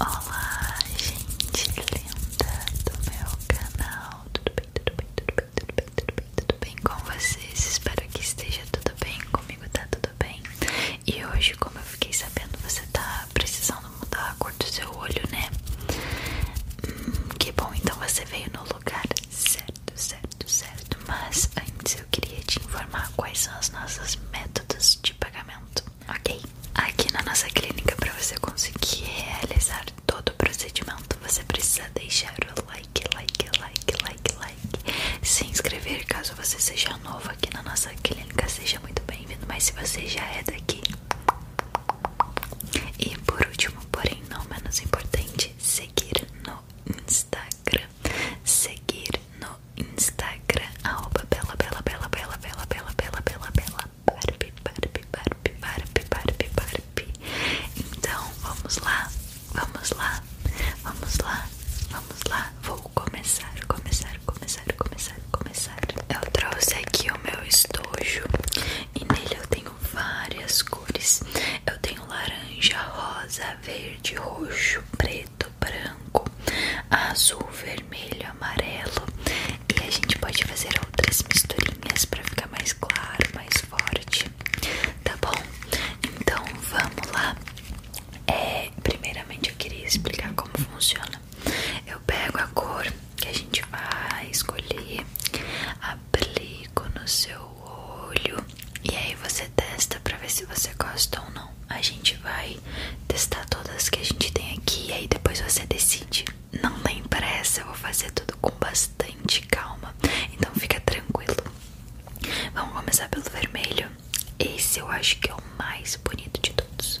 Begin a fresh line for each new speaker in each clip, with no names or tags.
Olá, gente linda do meu canal. Tudo bem, tudo bem, tudo bem, tudo bem, tudo bem, tudo bem com vocês? Espero que esteja tudo bem comigo, tá tudo bem? E hoje, como eu fiquei sabendo, você tá precisando mudar a cor do seu olho, né? Hum, que bom, então você veio no lugar certo, certo, certo. Mas antes eu queria te informar quais são os nossos métodos de pagamento ok? Aqui na nossa clínica, para você conseguir realizar todo o procedimento, você precisa deixar o like, like, like, like, like, se inscrever caso você seja novo aqui na nossa clínica, seja muito bem-vindo, mas se você já é daqui. E por último, porém não menos importante, seguir no Instagram, seguir no no Instagram, arroba bela, bela, bela, bela, bela, bela, bela, bela, bela, Barbie, Barbie, Barbie, Barbie, Barbie, Barbie. Então, vamos lá, vamos lá, vamos lá, vamos lá. Vou começar, começar, começar, começar, começar. Eu trouxe aqui o meu estojo e nele eu tenho várias cores. Eu tenho laranja, rosa, verde, roxo, preto branco, azul, vermelho, amarelo. E a gente pode fazer outras misturinhas para ficar mais claro, mais forte. Tá bom? Então vamos lá. É, primeiramente eu queria explicar como funciona. Eu pego a cor que a gente vai escolher, aplico no seu olho e aí você testa para ver se você gosta ou não. A gente vai testar todas que a gente tem aqui e aí depois você decide. Não tem pressa, eu vou fazer tudo com bastante calma. Então fica tranquilo. Vamos começar pelo vermelho. Esse eu acho que é o mais bonito de todos.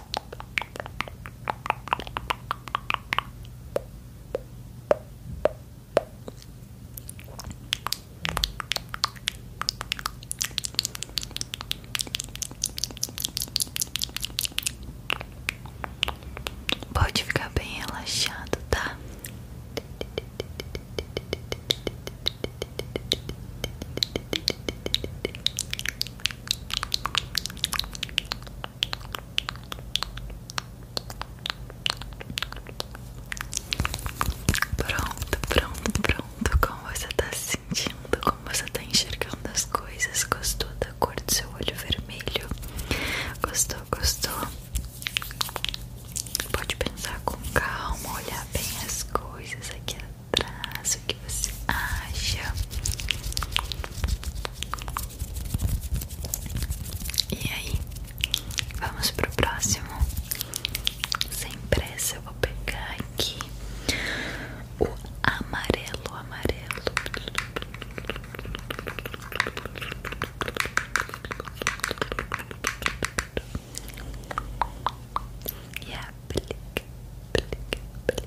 Pode ficar bem relaxado, tá? Pronto, pronto, pronto. Como você tá se sentindo? Como você tá enxergando as coisas? Gostou da cor do seu olho vermelho? Gostou, gostou? Pode pensar com calma, olhar bem as coisas aqui atrás, acha. E aí, vamos pro próximo. Sem pressa, eu vou pegar aqui o amarelo, amarelo. E aplica, aplica, aplica,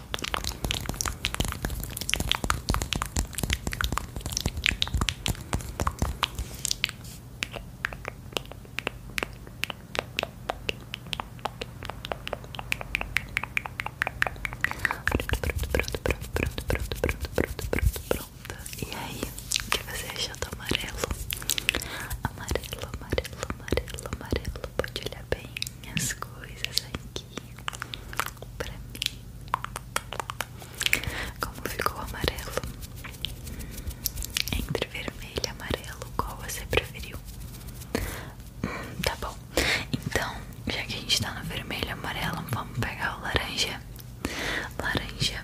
Pronto, pronto, pronto, pronto, pronto, pronto, pronto, pronto. E aí, o que você achou do amarelo? Amarelo, amarelo, amarelo, amarelo. Pode olhar bem as coisas aqui pra mim. Como ficou amarelo? Entre vermelho e amarelo, qual você preferiu? Hum, tá bom. Então, já que a gente tá no vermelho e amarelo, vamos pegar o laranja. Laranja.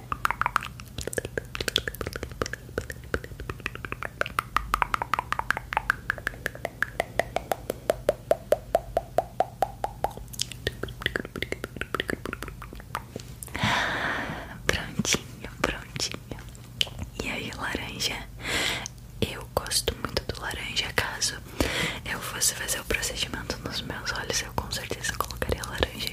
Prontinho, prontinho. E aí, laranja? Eu gosto muito do laranja. Caso eu fosse fazer o procedimento nos meus olhos, eu com certeza colocaria laranja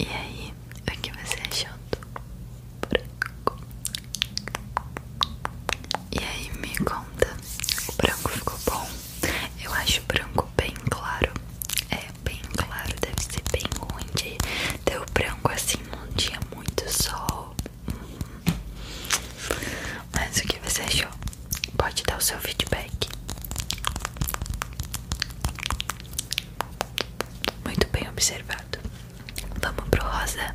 E aí, o que você achou do branco? E aí, me conta, o branco ficou bom? Eu acho branco bem claro, é bem claro, deve ser bem onde deu o branco assim não tinha muito sol. Mas o que você achou? Pode dar o seu feedback. Muito bem observado. Vamos pro rosa.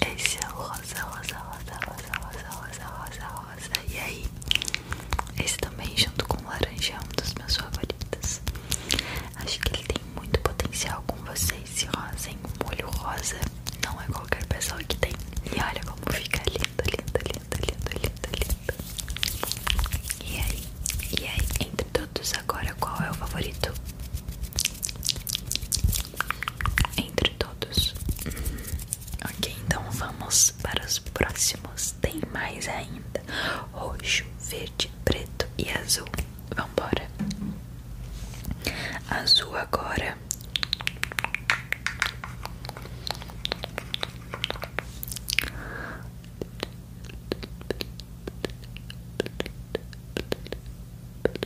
Esse é o rosa, rosa, rosa, rosa, rosa, rosa, rosa, rosa. E aí, esse também, junto com o laranja, é um dos meus favoritos. Acho que ele tem muito potencial com vocês. Esse rosa, hein? Um molho rosa. Não é qualquer pessoa que tem. E olha como fica lindo, lindo, lindo, lindo, lindo, lindo. E aí, e aí, entre todos agora, qual é o favorito? entre todos. Ok, então vamos para os próximos. Tem mais ainda: roxo, verde, preto e azul. Vamos embora. Azul agora.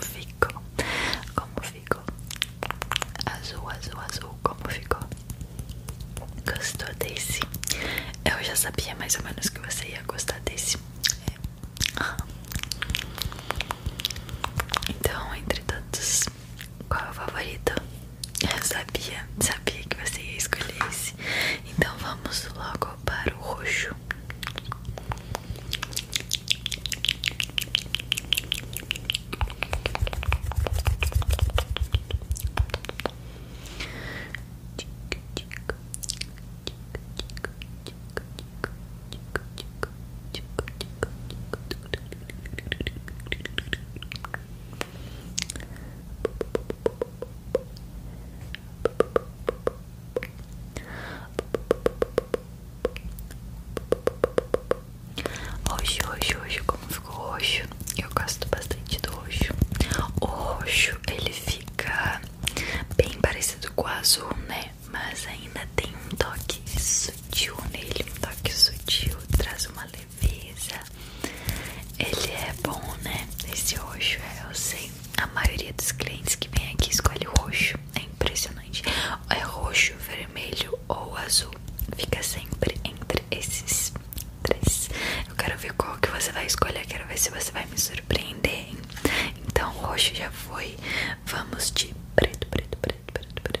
Ficou como ficou? Azul, azul, azul, como ficou? Gostou desse? Eu já sabia mais ou menos que você ia gostar desse. É. Então, entre tantos qual é o favorito? Eu sabia, sabia que você ia escolher esse. Então vamos logo para o roxo. Roxo, roxo, roxo, como ficou roxo? Eu gosto bastante do roxo. O roxo ele fica bem parecido com o azul, né? Mas ainda tem um toque sutil nele, um toque sutil, traz uma leveza. Ele é bom, né? Esse roxo, é, eu sei. A maioria dos clientes que vem aqui escolhe roxo. É impressionante. É roxo, vermelho ou azul. Fica sempre entre esses três. Eu quero ver qual que você vai escolher. Quero ver se você vai me surpreender. Hein? Então, roxo já foi. Vamos de preto, preto, preto, preto.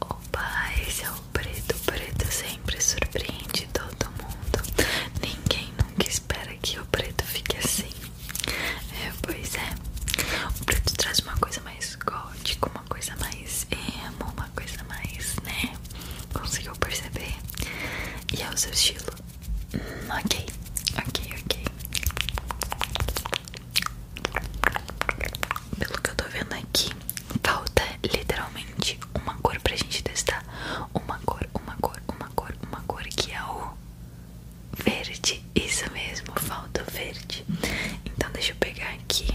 Opa, esse é o preto. O preto sempre surpreende todo mundo. Ninguém nunca espera que o preto fique assim. É, pois é. O preto traz uma coisa mais gótica, uma coisa mais emo, uma coisa mais, né? Conseguiu perceber? E é o seu estilo? Hum, ok, ok, ok. Pelo que eu tô vendo aqui, falta literalmente uma cor pra gente testar. Uma cor, uma cor, uma cor, uma cor que é o verde. Isso mesmo, falta o verde. Então deixa eu pegar aqui.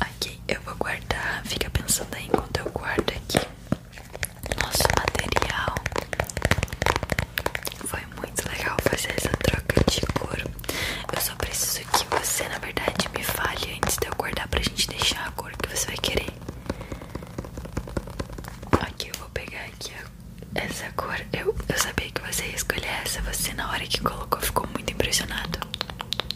Ok, eu vou guardar. Fica pensando aí enquanto eu guardo aqui. Nosso material foi muito legal fazer essa troca de cor. Eu só preciso que você, na verdade, me fale antes de eu guardar pra gente deixar a cor que você vai querer. Aqui eu vou pegar aqui essa cor. Eu, eu sabia que você ia escolher essa. Você na hora que colocou ficou muito impressionado.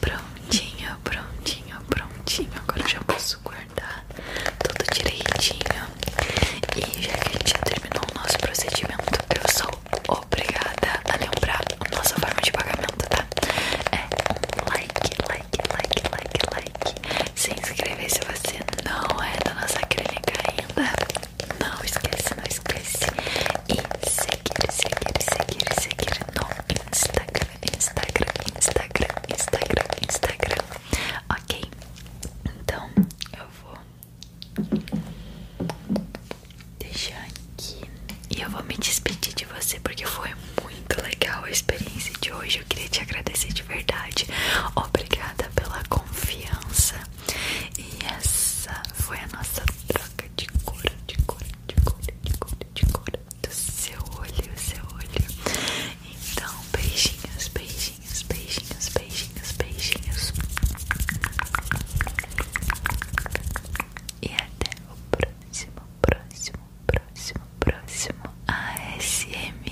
Prontinho, prontinho, prontinho. Agora já posso guardar tudo direitinho. E já que a gente já terminou o nosso procedimento, eu sou obrigada a lembrar nossa forma de pagamento, tá? É like, like, like, like, like. Se inscrever se você não é da nossa clínica ainda. Não esquece, não esquece e seguir, seguir, seguir, seguir no Instagram, Instagram, Instagram, Instagram, Instagram. Ok, então eu vou deixar aqui e eu vou me despedir de você porque foi muito legal a experiência de hoje. Eu queria te agradecer de verdade. Obrigada pela confiança. E essa foi a nossa troca de cor, de cor, de cor, de cor, de cor do seu olho, seu olho. Então, beijinhos, beijinhos, beijinhos, beijinhos, beijinhos. E até o próximo, próximo, próximo, próximo a ASMR.